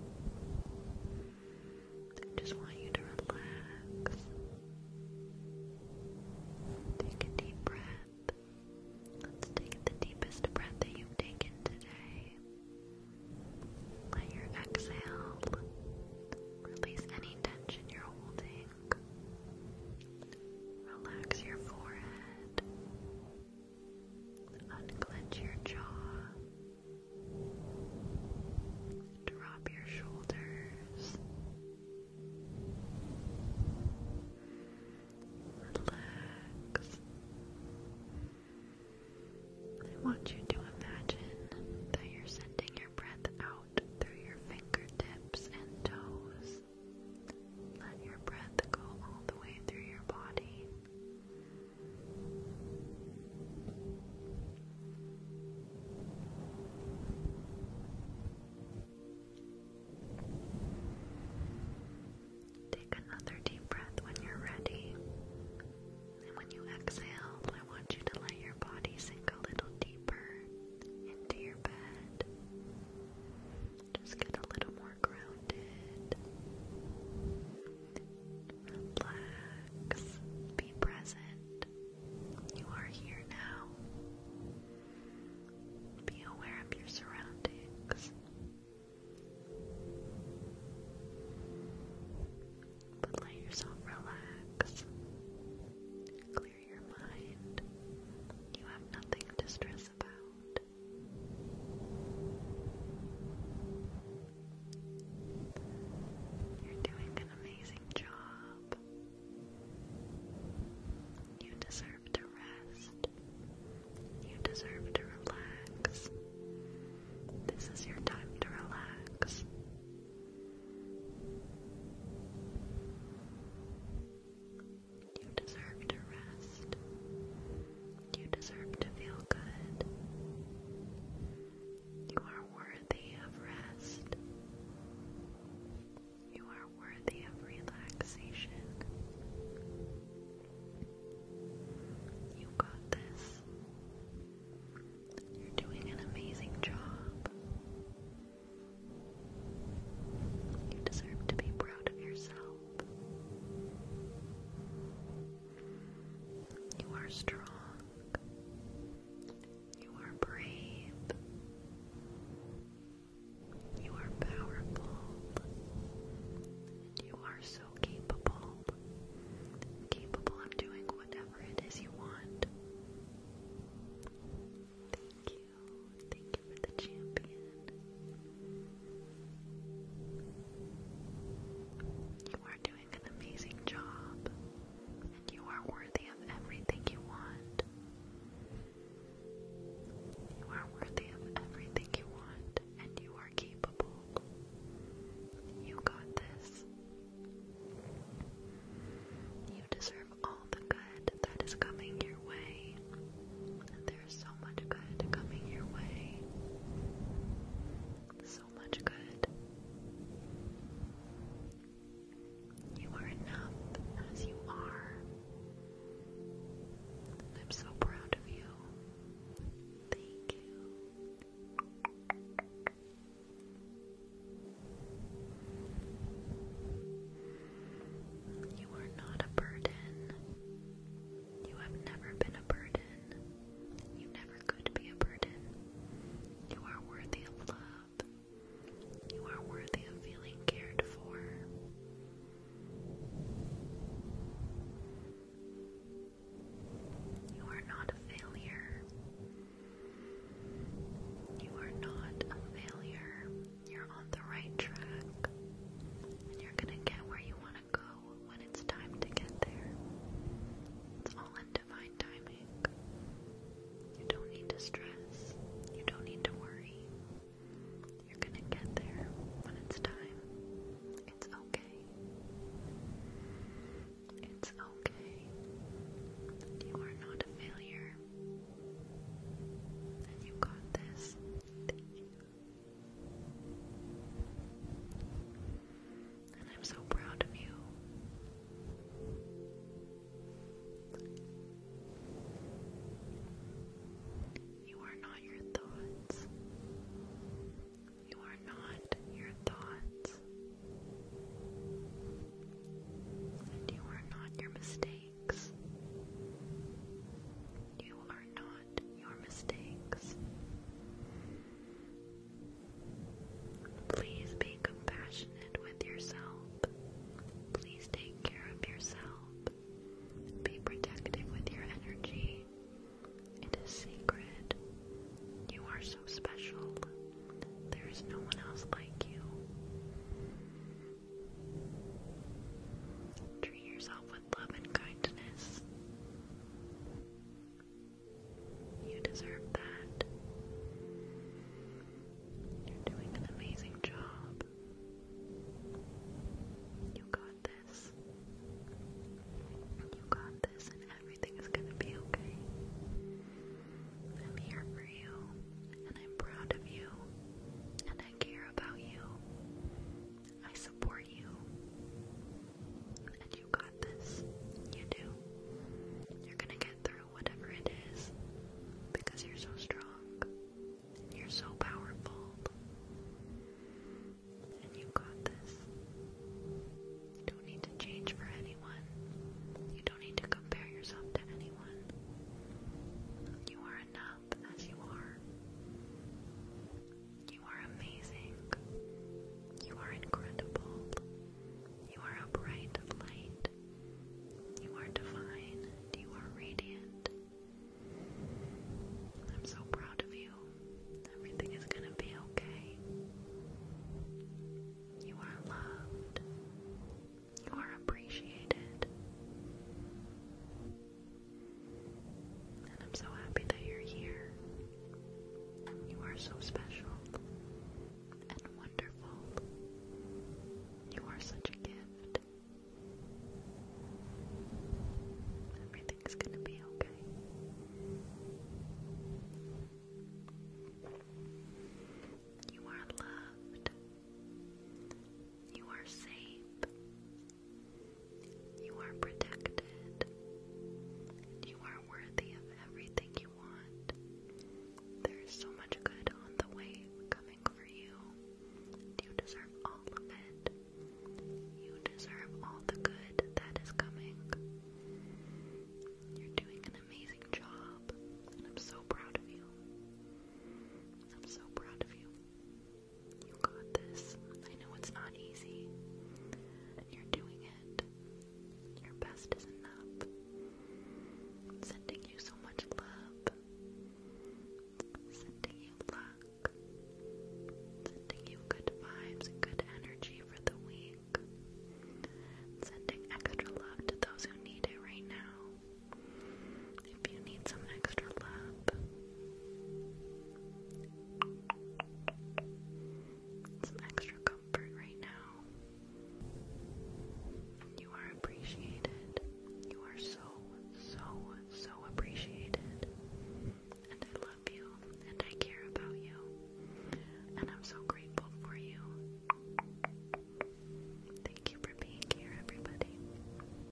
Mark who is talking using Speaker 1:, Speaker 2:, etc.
Speaker 1: I just want you to relax. Take a deep breath. Let's take the deepest breath that you've taken today. Let your exhale release any tension you're holding. Relax your forehead. Unclench your jaw. Drop your shoulders. Relax. I want you to imagine that you're sending your breath out through your fingertips and toes. Let your breath go all the way through your body. Take another deep breath when you're ready. And when you exhale, I want you to let your body sink a little deeper into your bed. Just get a little more grounded. Relax. Be present. You are here now. Be aware of your surroundings. But let yourself relax. Clear your mind. You have nothing to stress about. You're doing an amazing job. You deserve to rest. You deserve to relax. This is your time to relax. You deserve to rest. You deserve to feel good. You are worthy of rest. You are worthy of relaxation. You got this. You're doing an amazing job. You deserve to be proud of yourself. You are strong. You are brave. You are powerful. And you are so capable. Capable of doing whatever it is you want. Thank you. Thank you for the champion. You are doing an amazing job, and you are worthy of everything you want. You are worthy of everything you want, and you are capable. You got this. You deserve all the good that is coming your way, there's so much good coming your way. So much good. You are enough as you are. I'm so proud of you. Thank you. You are not a burden. You have never been a burden. You never could be a burden. You are worthy of love. You are worthy of feeling cared for. You are not a failure. You are not a failure. You're on the right track. And you're going to get where you want go when it's time to get there. It's all in divine timing. You don't need to stress. You don't need to worry. You're going to get there when it's time. It's okay. It's okay. You are not a failure. you got this. Thank you. And I'm so proud of you. You are not your thoughts. You are not your thoughts. you are not your mistakes. You are not your mistakes. Please be compassionate with yourself. Please take care of yourself. Be protective with your energy. It is sacred. You are so special. There is no one else like you. Treat yourself love and kindness. You deserve that. You're doing an amazing job. You got this. You got this, and everything is going to be okay. I'm here for you, and I'm proud of you, and I care about you, I support you. And you got this. You do. You're gonna get through whatever it is because you're so strong. You're so powerful. And you got this. don't need to change for anyone. You don't need to compare yourself to anyone. You are enough as you are. You are amazing. You are incredible. You are a bright light. You are divine. You are radiant. I'm so proud of you. Everything is going to be okay. You are loved. You are appreciated. And I'm so happy that you're here. You are so special and wonderful. You are such a gift. Everything's gonna be okay. You are loved. You are safe. You are protected. You are worthy of everything you want. There is so much good on the way coming for you. You deserve all of it. You deserve all the good that is coming. You're doing an amazing job, and I'm so proud of you. I'm so proud of you. You got this. I know it's not easy. And you're doing it. Your best is enough. I'm sending you so much love. Sending you luck. Sending you good vibes and good energy for the week. Sending extra love to those who need it right now if you need some extra love. Some extra comfort right now. You are appreciated. You are so, so, so appreciated. And I love you. And I care about you. And I'm so grateful for you. Thank you for being here, everybody.